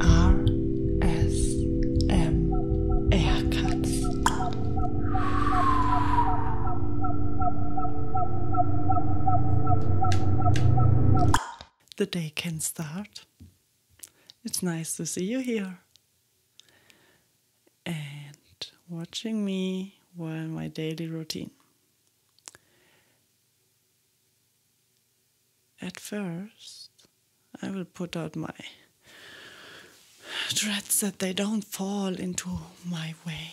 R S M Haircuts. The day can start. It's nice to see you here and watching me while my daily routine. At first, I will put out my dreads that they don't fall into my way.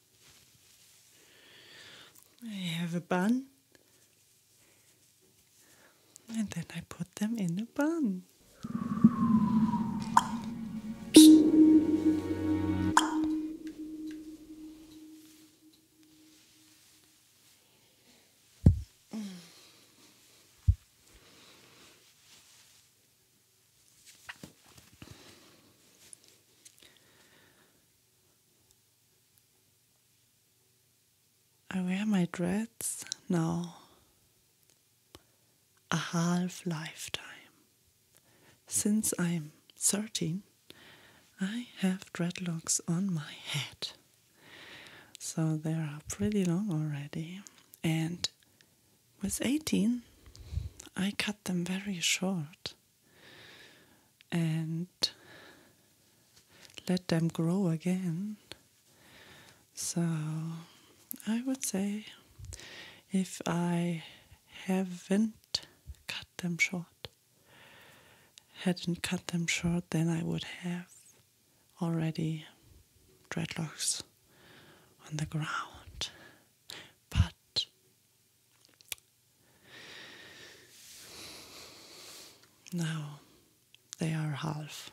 I have a bun, and then I put them in a bun. I wear my dreads now a half lifetime. Since I'm 13, I have dreadlocks on my head. So they are pretty long already. And with 18, I cut them very short and let them grow again. So I would say if I haven't cut them short, hadn't cut them short, then I would have already dreadlocks on the ground. But now they are half.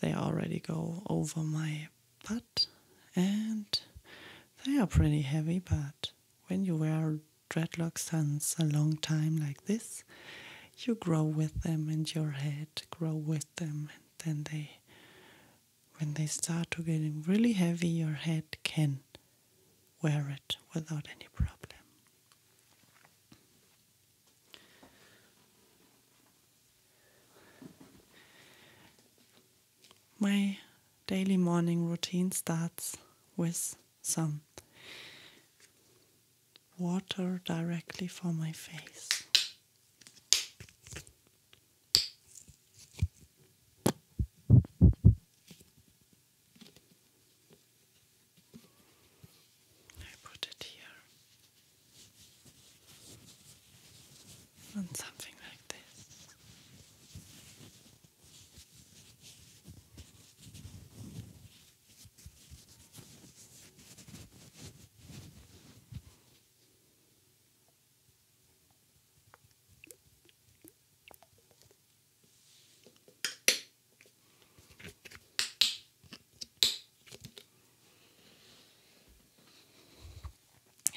They already go over my butt and they are pretty heavy, but when you wear dreadlock suns a long time like this, you grow with them and your head grow with them and then they when they start to getting really heavy, your head can wear it without any problem. My daily morning routine starts with some water directly for my face. I put it here on something like this.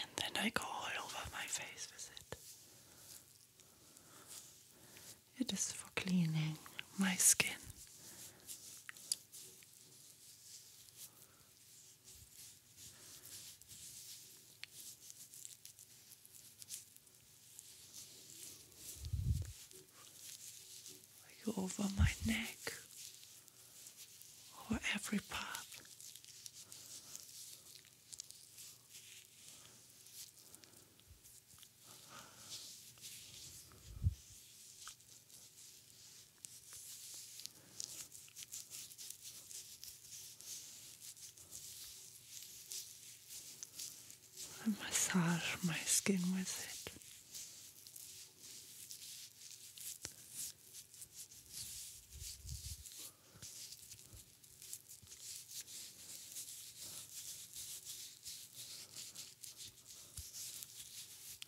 And then I go all over my face with it. It is for cleaning my skin. Like over my neck over every part. I massage my skin with it.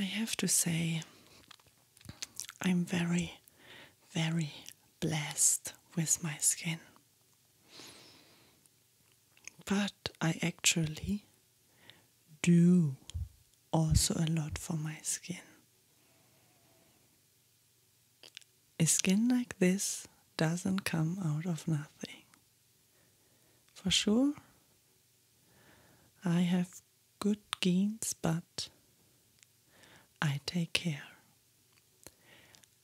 I have to say, I'm very, very blessed with my skin. But I actually do also a lot for my skin. A skin like this doesn't come out of nothing. For sure, I have good genes, but I take care.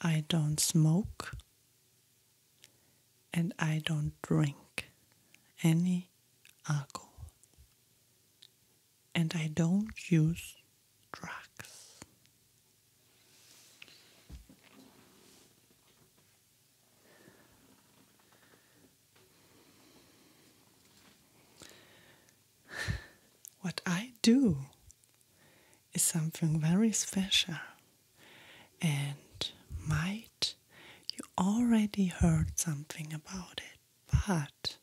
I don't smoke and I don't drink any alcohol. And I don't use drugs. What I do is something very special and might you already heard something about it, but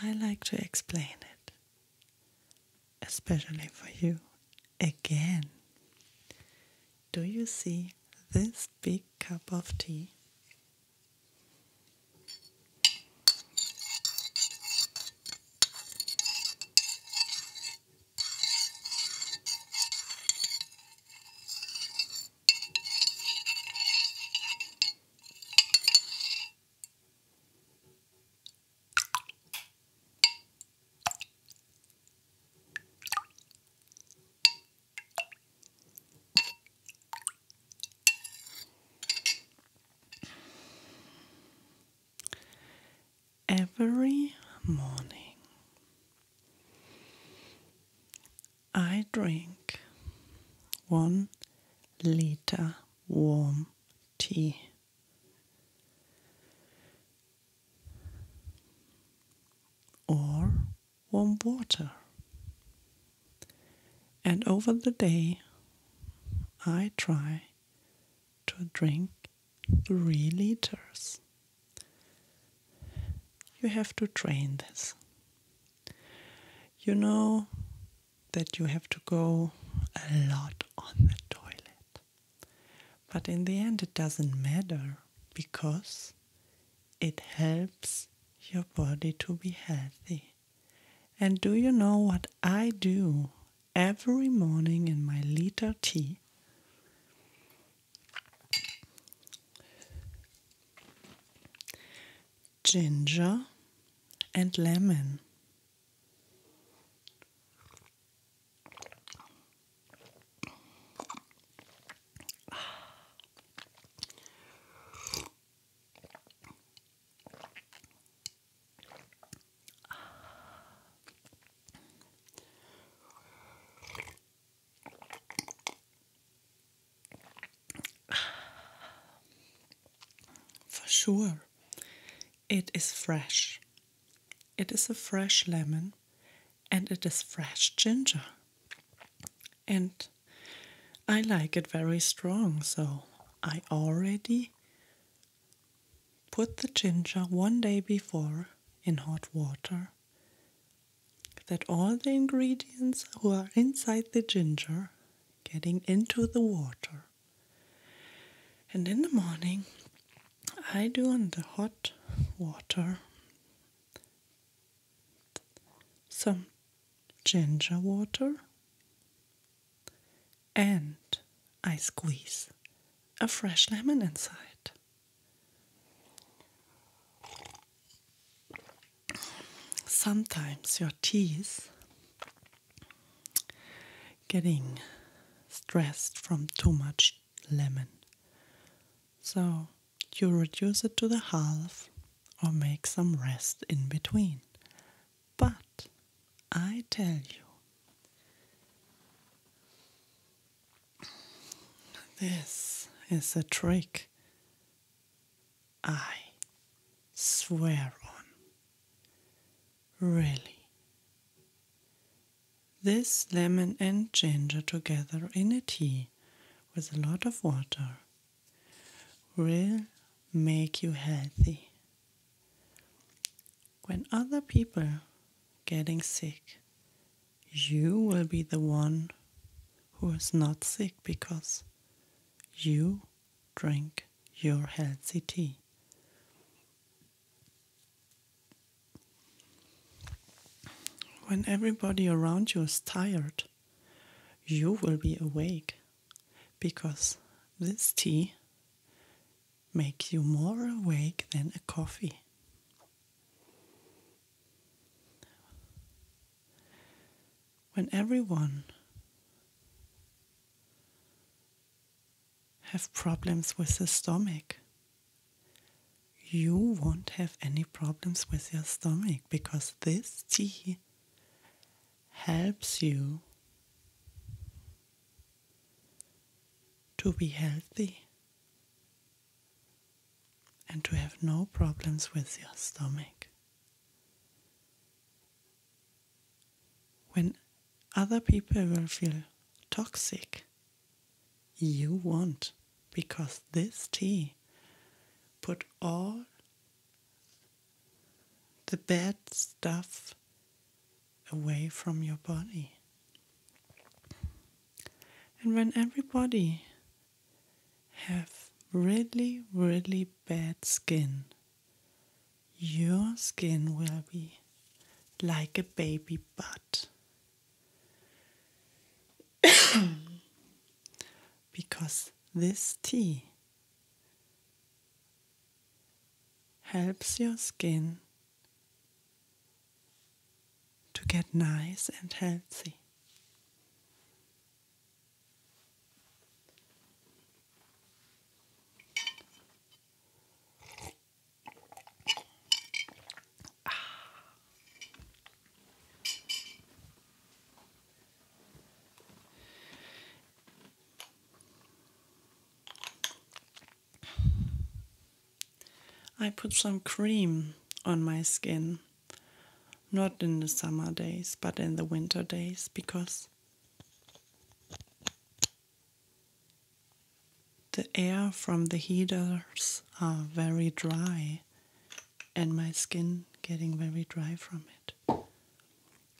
I like to explain it, especially for you again. Do you see this big cup of tea? Every morning I drink one liter warm tea. Or warm water. And over the day, I try to drink three liters you have to train this. You know that you have to go a lot on the toilet. But in the end, it doesn't matter because it helps your body to be healthy. And do you know what I do every morning in my liter tea? ginger and lemon. For sure, it is fresh. It is a fresh lemon and it is fresh ginger. And I like it very strong, so I already put the ginger one day before in hot water that all the ingredients who are inside the ginger getting into the water. And in the morning, I do on the hot water some ginger water and I squeeze a fresh lemon inside. Sometimes your teeth getting stressed from too much lemon. So you reduce it to the half or make some rest in between. But I tell you, this is a trick I swear on. Really. This lemon and ginger together in a tea with a lot of water will make you healthy. When other people getting sick you will be the one who is not sick because you drink your healthy tea. When everybody around you is tired, you will be awake because this tea makes you more awake than a coffee. When everyone have problems with the stomach, you won't have any problems with your stomach because this tea helps you to be healthy and to have no problems with your stomach. When other people will feel toxic, you won't, because this tea put all the bad stuff away from your body. And when everybody have really, really bad skin, your skin will be like a baby butt. because this tea helps your skin to get nice and healthy. I put some cream on my skin, not in the summer days, but in the winter days, because the air from the heaters are very dry, and my skin getting very dry from it.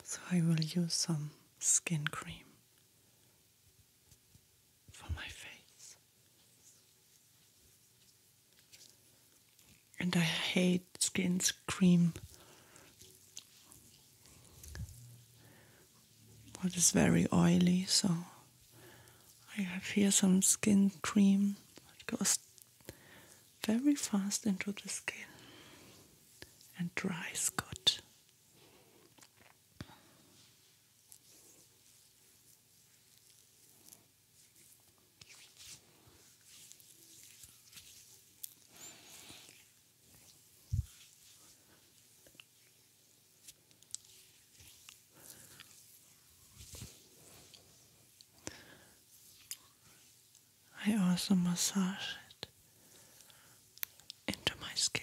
So I will use some skin cream for my face. And I hate skin cream. What is very oily, so I have here some skin cream. that goes very fast into the skin and dries good. I also massage it into my skin.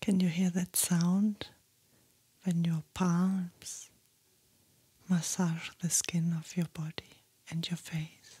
Can you hear that sound when your palms massage the skin of your body and your face?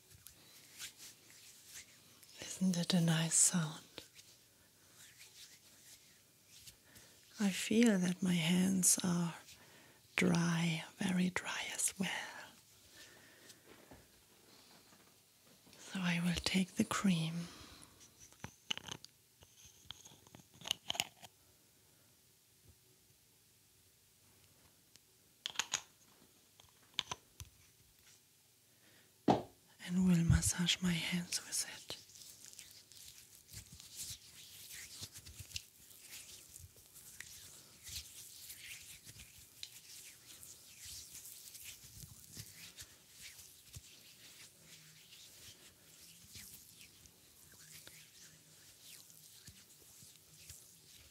Isn't it a nice sound? I feel that my hands are dry, very dry as well. So I will take the cream and will massage my hands with it.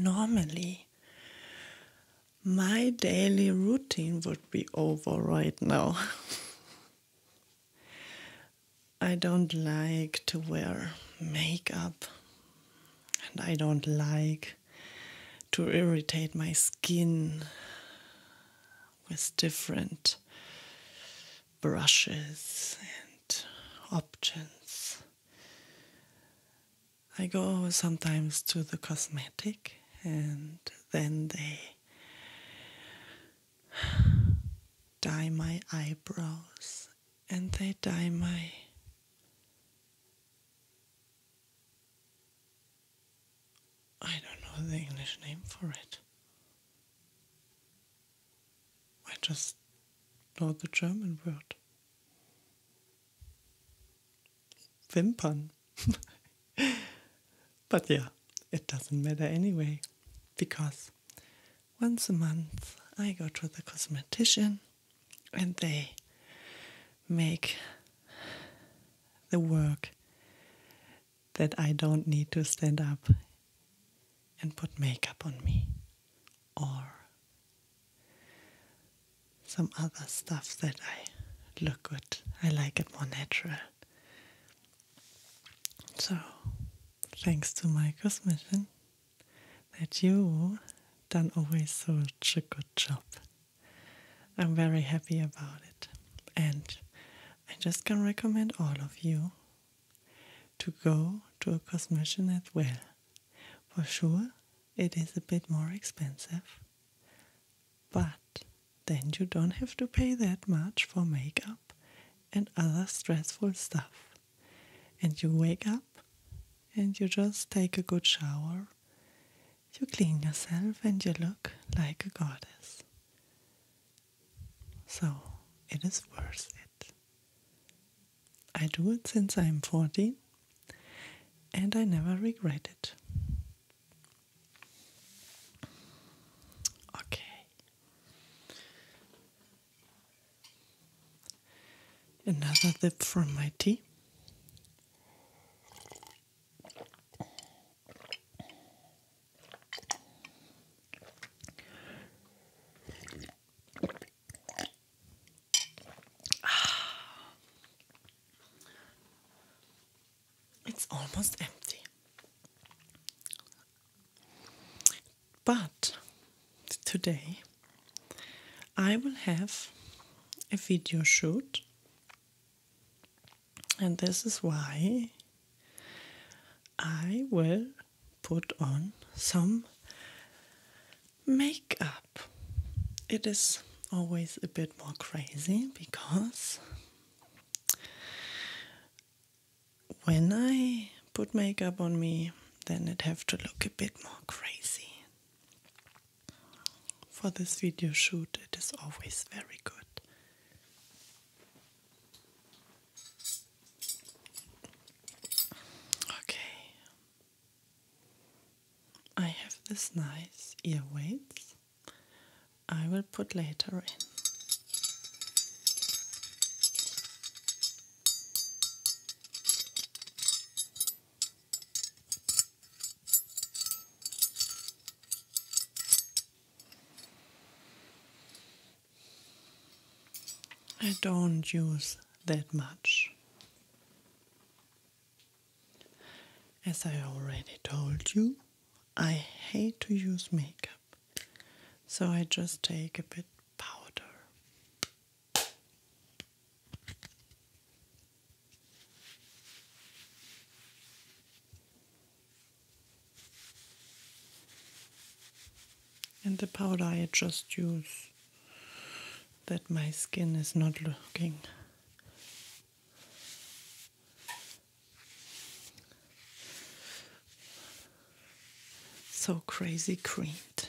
Normally, my daily routine would be over right now. I don't like to wear makeup and I don't like to irritate my skin with different brushes and options. I go sometimes to the cosmetic, and then they dye my eyebrows and they dye my I don't know the English name for it. I just know the German word. Wimpern. but yeah, it doesn't matter anyway, because once a month I go to the cosmetician and they make the work that I don't need to stand up and put makeup on me or some other stuff that I look good. I like it more natural. So, thanks to my cosmetician, that you done always such a good job. I'm very happy about it. And I just can recommend all of you to go to a cosmetician as well. For sure, it is a bit more expensive, but then you don't have to pay that much for makeup and other stressful stuff. And you wake up and you just take a good shower, you clean yourself, and you look like a goddess. So it is worth it. I do it since I'm 14 and I never regret it. Okay. Another dip from my tea. It's almost empty. But today I will have a video shoot, and this is why I will put on some Makeup. It is always a bit more crazy because when I put makeup on me, then it have to look a bit more crazy. For this video shoot, it is always very good. Okay, I have this nice ear weights I will put later in. I don't use that much. As I already told you, I hate to use makeup, so I just take a bit powder. And the powder I just use that my skin is not looking so crazy creamed.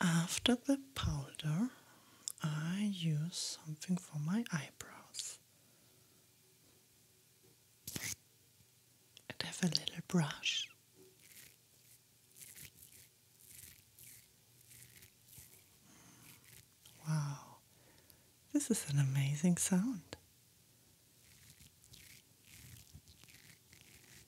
After the powder, I use something for my eyebrows. And have a little brush. Wow, this is an amazing sound.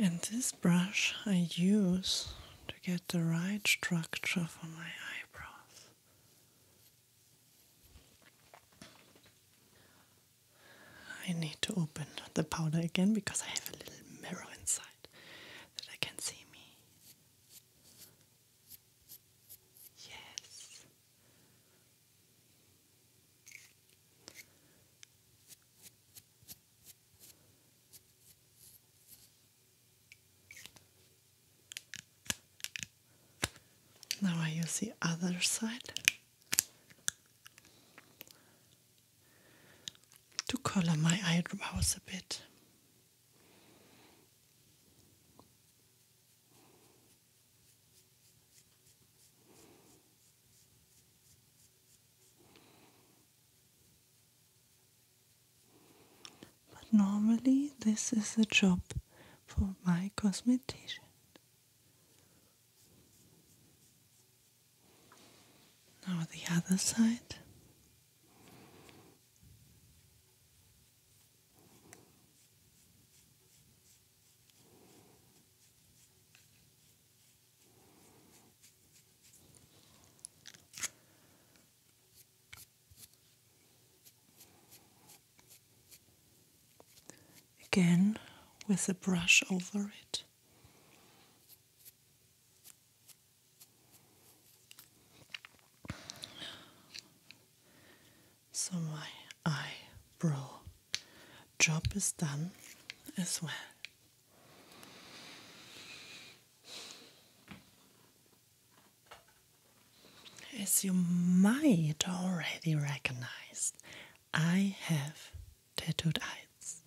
And this brush I use to get the right structure for my eyebrows. I need to open the powder again because I have a little mirror inside that I can see me. Yes, now I use the other side to color my eyebrows a bit. But normally, this is a job for my cosmetician. Now, the other side. Again, with a brush over it. So my eyebrow job is done as well. As you might already recognize, I have tattooed eyes.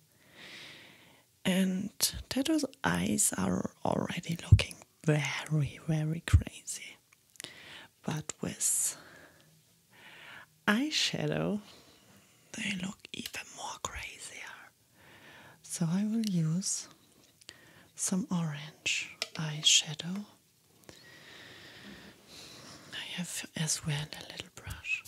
And tattooed eyes are already looking very, very crazy. But with eyeshadow, they look even more crazier. So I will use some orange eyeshadow. I have as well a little brush.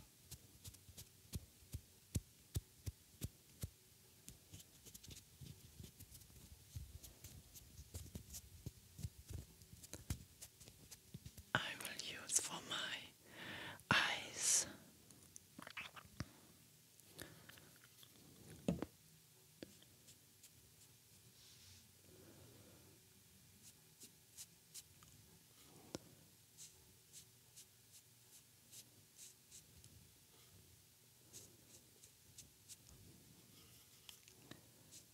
I will use for my eyes.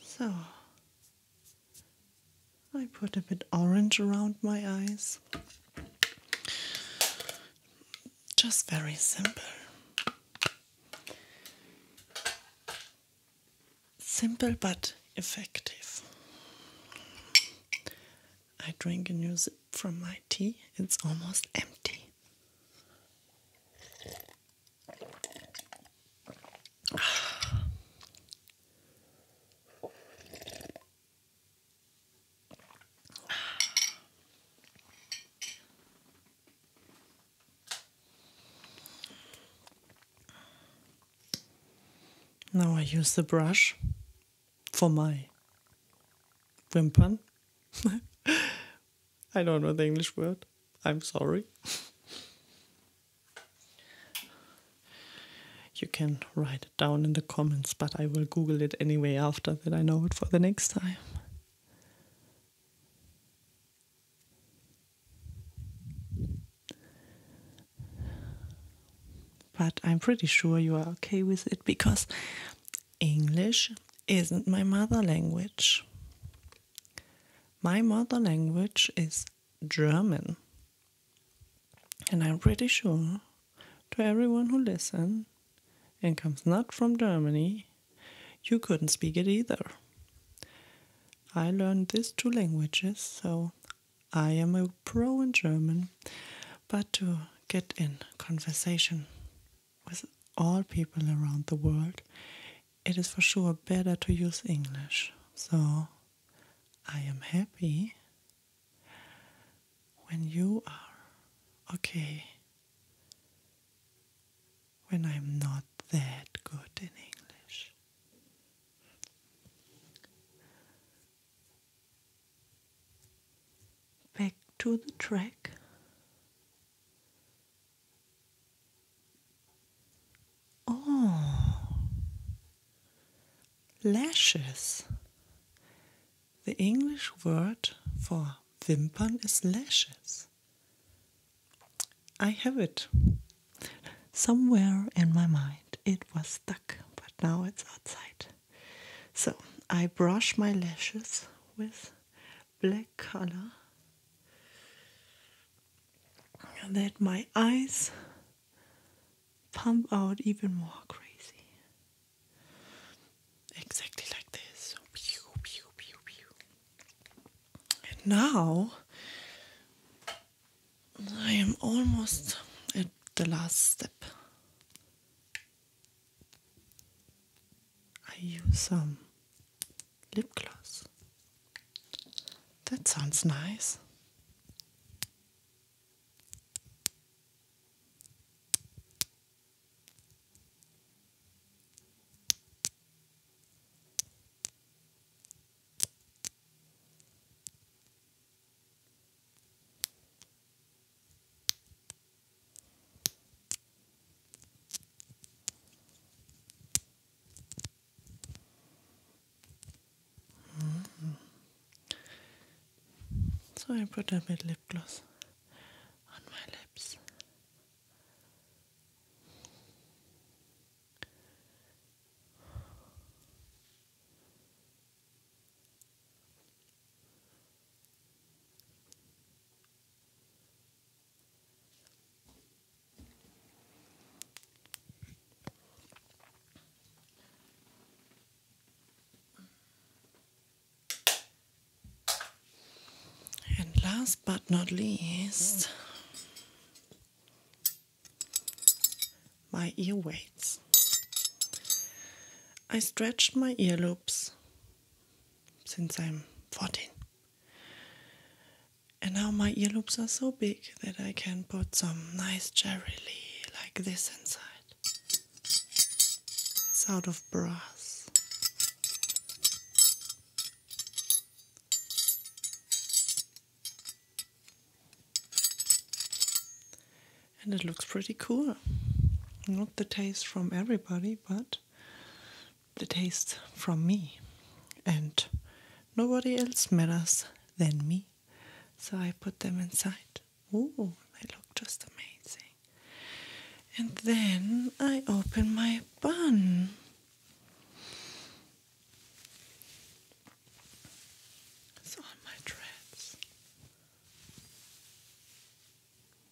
So I put a bit orange around my eyes. Just very simple. Simple but effective. I drink a new sip from my tea, it's almost empty. Now I use the brush for my wimpern I don't know the English word. I'm sorry. you can write it down in the comments, but I will Google it anyway after that I know it for the next time. But I'm pretty sure you are okay with it because English isn't my mother language. My mother language is German. And I'm pretty sure to everyone who listen, and comes not from Germany, you couldn't speak it either. I learned these two languages, so I am a pro in German, but to get in conversation with all people around the world, it is for sure better to use English. So I am happy when you are okay, when I'm not that good in English. Back to the track. Oh, lashes. The English word for wimpern is lashes. I have it somewhere in my mind. It was stuck, but now it's outside. So I brush my lashes with black color Let my eyes pump out even more crazy. Exactly like this. And now I am almost at the last step. I use some lip gloss. That sounds nice. So I put a bit lip gloss on my lips. And last but not least, my ear weights. I stretched my earlobes since I'm 14. And now my ear loops are so big that I can put some nice jewelry like this inside. It's out of brass. And it looks pretty cool. Not the taste from everybody, but the taste from me, and nobody else matters than me. So I put them inside. Oh, they look just amazing. And then I open my bun. It's on my dreads.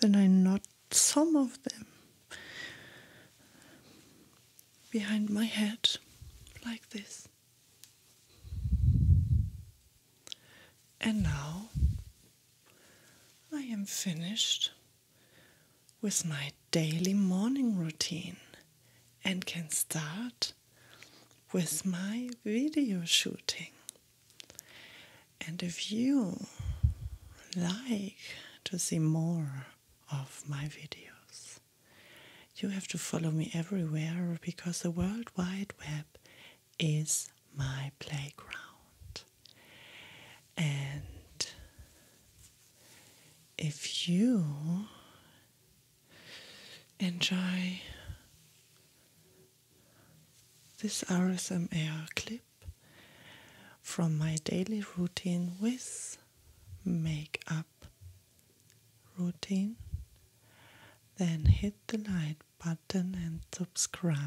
Then I knot some of them behind my head like this. And now I am finished with my daily morning routine and can start with my video shooting. And if you like to see more of my videos, you have to follow me everywhere because the World Wide Web is my playground. And if you enjoy this RSMR clip from my daily routine with makeup routine, then hit the like button and subscribe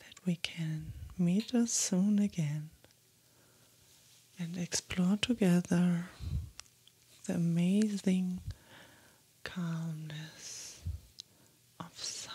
that we can meet us soon again and explore together the amazing calmness of sound.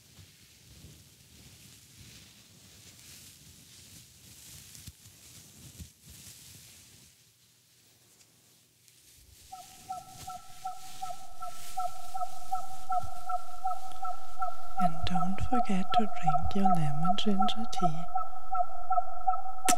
And don't forget to drink your lemon ginger tea.